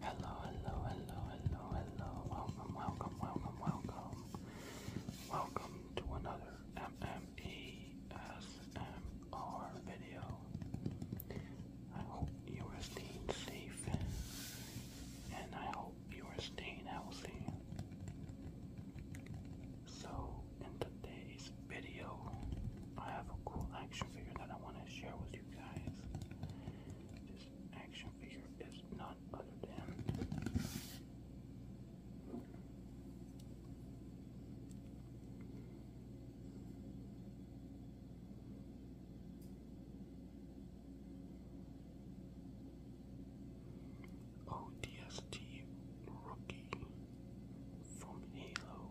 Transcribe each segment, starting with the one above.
Hello, hello, hello, hello, hello. Welcome, welcome, welcome, welcome. Welcome to another MMESMR video. I hope you are staying safe and I hope you are staying healthy. So, in today's video, I have a cool action figure that I want to share with you guys. This action figure is none other than ODST oh, Rookie from Halo.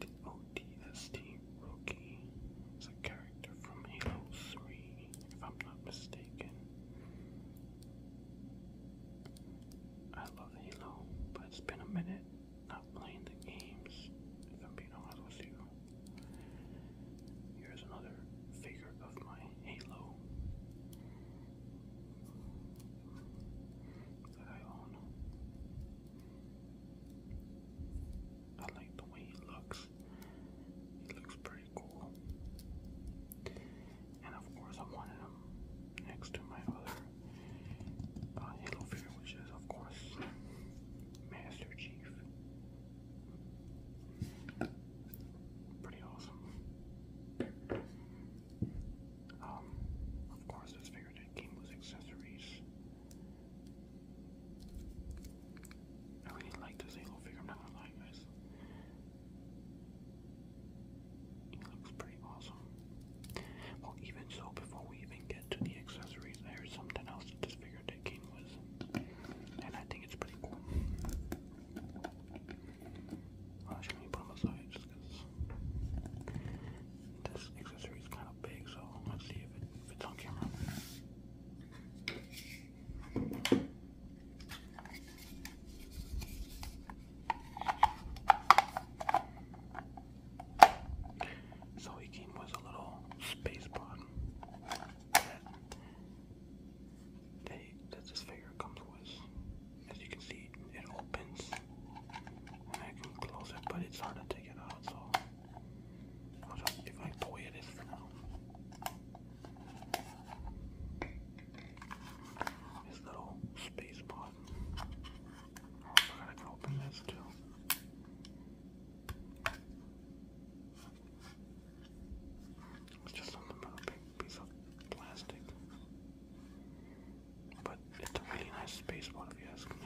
The ODST Rookie is a character from Halo 3, if I'm not mistaken. I love Halo, but it's been a minute not playing the games, if I'm being honest with you. Here's another figure of my Halo that I own. I like the way he looks. He looks pretty cool and of course I am one of them next to my other uh, Halo figure, which is of course Master Chief. Pretty awesome. Um, of course, this figure came with accessories. I really like this Halo figure, I'm not gonna lie, guys. It looks pretty awesome. Well, even so, before we even get to the accessories, there's something else that this figure did came with, and I think it's pretty cool. let me put them aside just this accessory is kind of big, so let's see if it fits on camera. So he came with a little space pod that this figure comes with. As you can see, it opens and I can close it, but it's hard to take it out, so I'll just if I the way it is for now. This little space pod. I forgot I can open this too. It's just something big piece of plastic. But it's a really nice space bot if you ask me.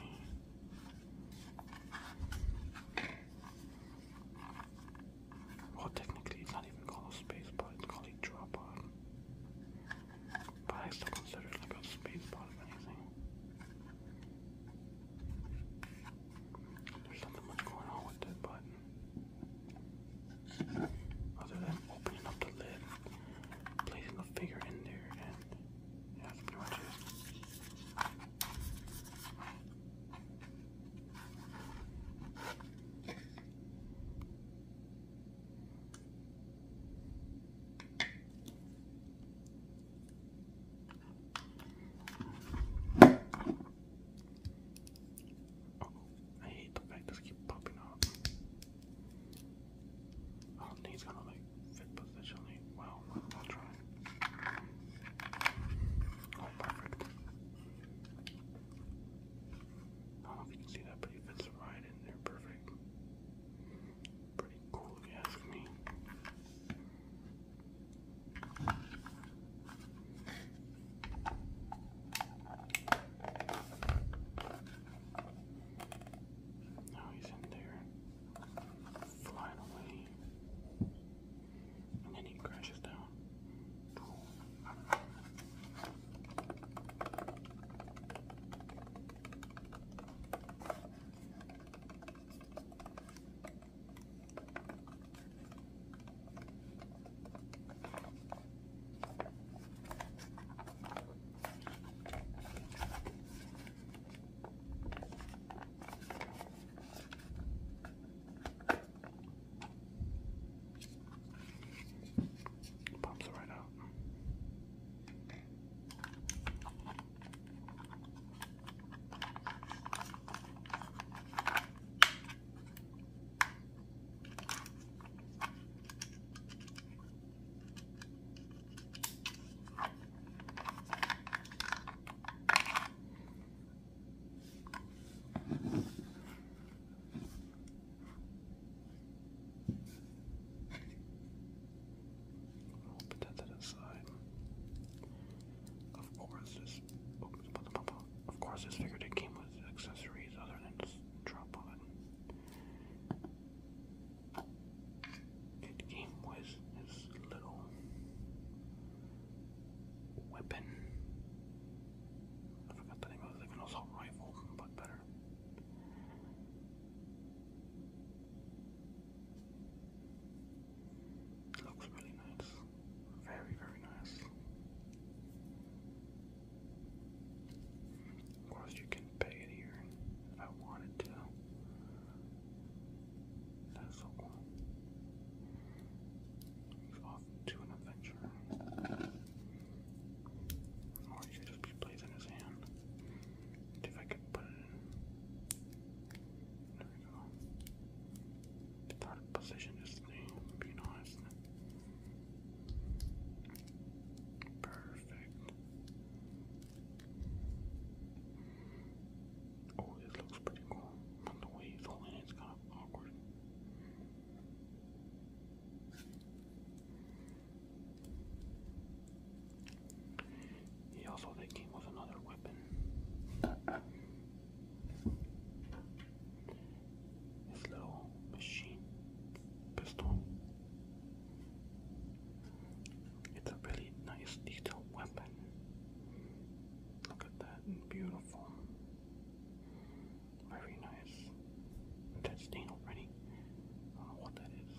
Well technically not even called a space pod, it's called a drop pod. But I still consider it like a space pod if anything. There's nothing much going on with it, but other than opening up the lid, placing the figure in there, and yeah, that's pretty I hate the fact this keeps popping up. Oh, he's gonna like fit positionally. Well, I'll try. Oh, perfect. Oh, I don't know if you can see that, but it fits right in there perfect. Pretty cool if you ask me. Now he's in there, flying away and then he crashes down. Pops right out i that to the side. Of course, this. Oh, of course, this figure that came with accessories other than this drop on It came with this little weapon. I forgot the name of it, like an assault rifle, but better. It looks really nice. Very, very nice. Of course, you can pay it here I wanted to. That's so cool to an adventurer. Or he could just be plays in his hand. If I could put it in. There we go. It's position, is the name, being Perfect. Oh, this looks pretty cool. But the way it's holding it's kind of awkward. He also they came with another weapon. This little machine pistol. It's a really nice detailed weapon. Look at that that. Beautiful. Very nice. That stain already. I don't know what that is.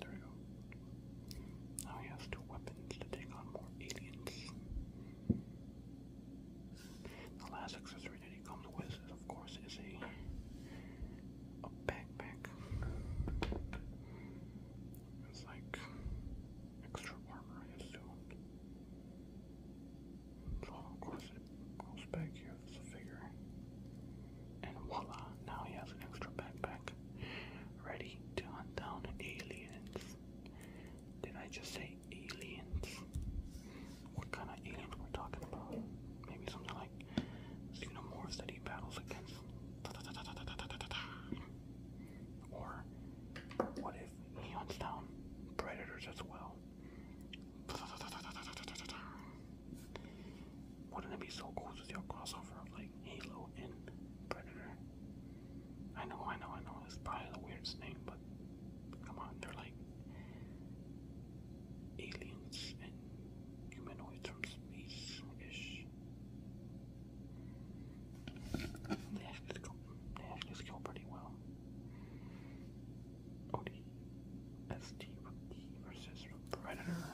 There we go. Now he has two weapons to take on more aliens. The last accessory that he comes with, is, of course, is a, backpack. It's like extra armor, I assume. of course, it goes back here the figure. And voila, now he has an extra backpack ready to hunt down aliens. Did I just say like aliens. What kind of aliens we're talking about? Maybe something like xenomorphs that he battles against. Or what if he hunts down predators as well? Wouldn't it be so cool to do a crossover of like Halo and Predator? I know, I know, I know, it's probably the weirdest name, but come on, they're like aliens and humanoids from space ish. They actually go they actually skill pretty well. OD ST versus Predator.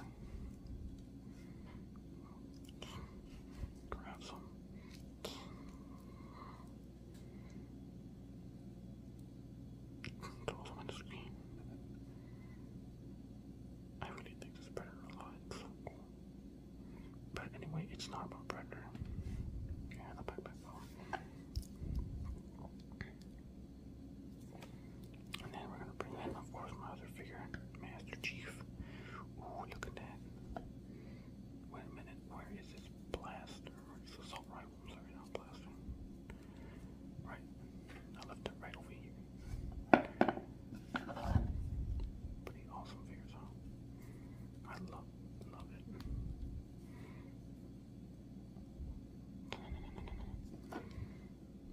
Grab Controls on the screen. I really think this Predator a lot. But anyway, it's not about Predator. Okay, the backpack off. And then we're gonna bring in, of course, my other figure, Master Chief. Ooh, look at Wait a minute, where is this blaster? Where is this assault rifle? sorry, not blaster. Right, I left it right over here. Pretty awesome figures, huh? I love, love it.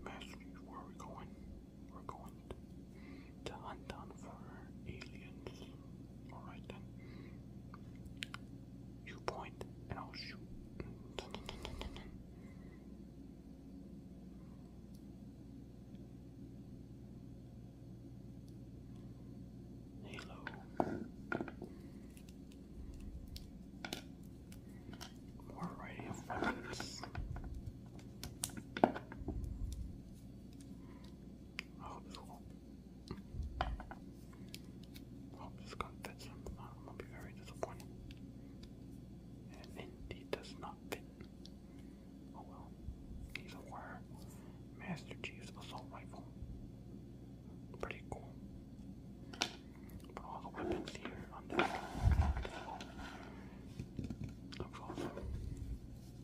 Master, where we going? We're going to hunt down for aliens. Alright then. You point and I'll shoot. Hello. More variety hopeful. I hope this gun fits him. I'm gonna be very disappointed. And indeed does not fit. Oh well. He's a Master Chief's assault rifle. Pretty cool. But all the weapons here on this table. Looks awesome.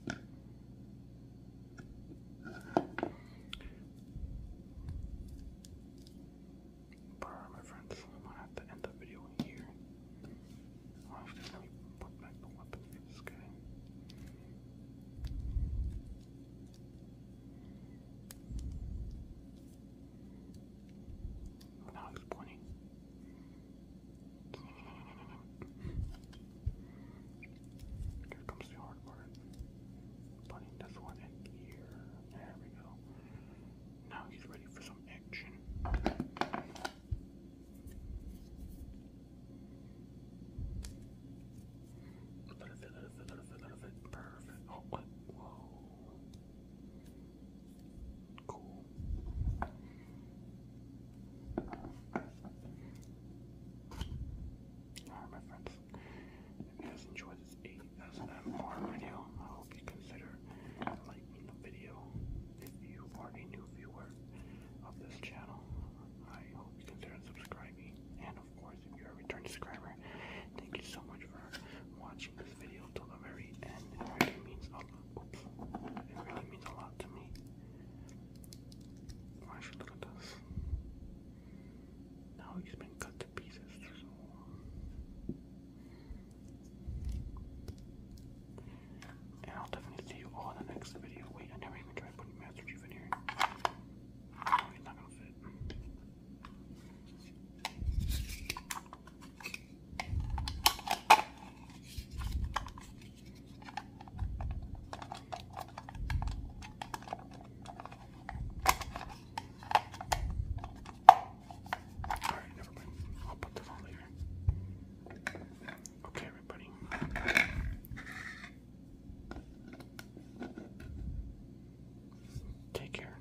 But my friends, I'm gonna have to end the video here. Honestly, let me put back the weapon for oh, Now he's pointing. Here comes the hard part. Putting this one in here. There we go. Now he's ready for some action. A little bit, little bit, little bit, little bit. Perfect. Oh, Whoa. Cool. Alright, my friends. If you guys enjoyed this ASMR video, I hope you consider liking the video. If you are a new viewer of this channel, I hope you consider subscribing. And of course, if you're a return subscriber, thank you so much for watching this video till the very end. It really means a Oops. It really means a lot to me. Why should look at this? Now he's been cut to pieces. I'll definitely see you all in the next video. Wait, I never even tried putting Master Chief in here. No, not gonna fit. All right, never mind. I'll put them on later. Okay, everybody. Take care.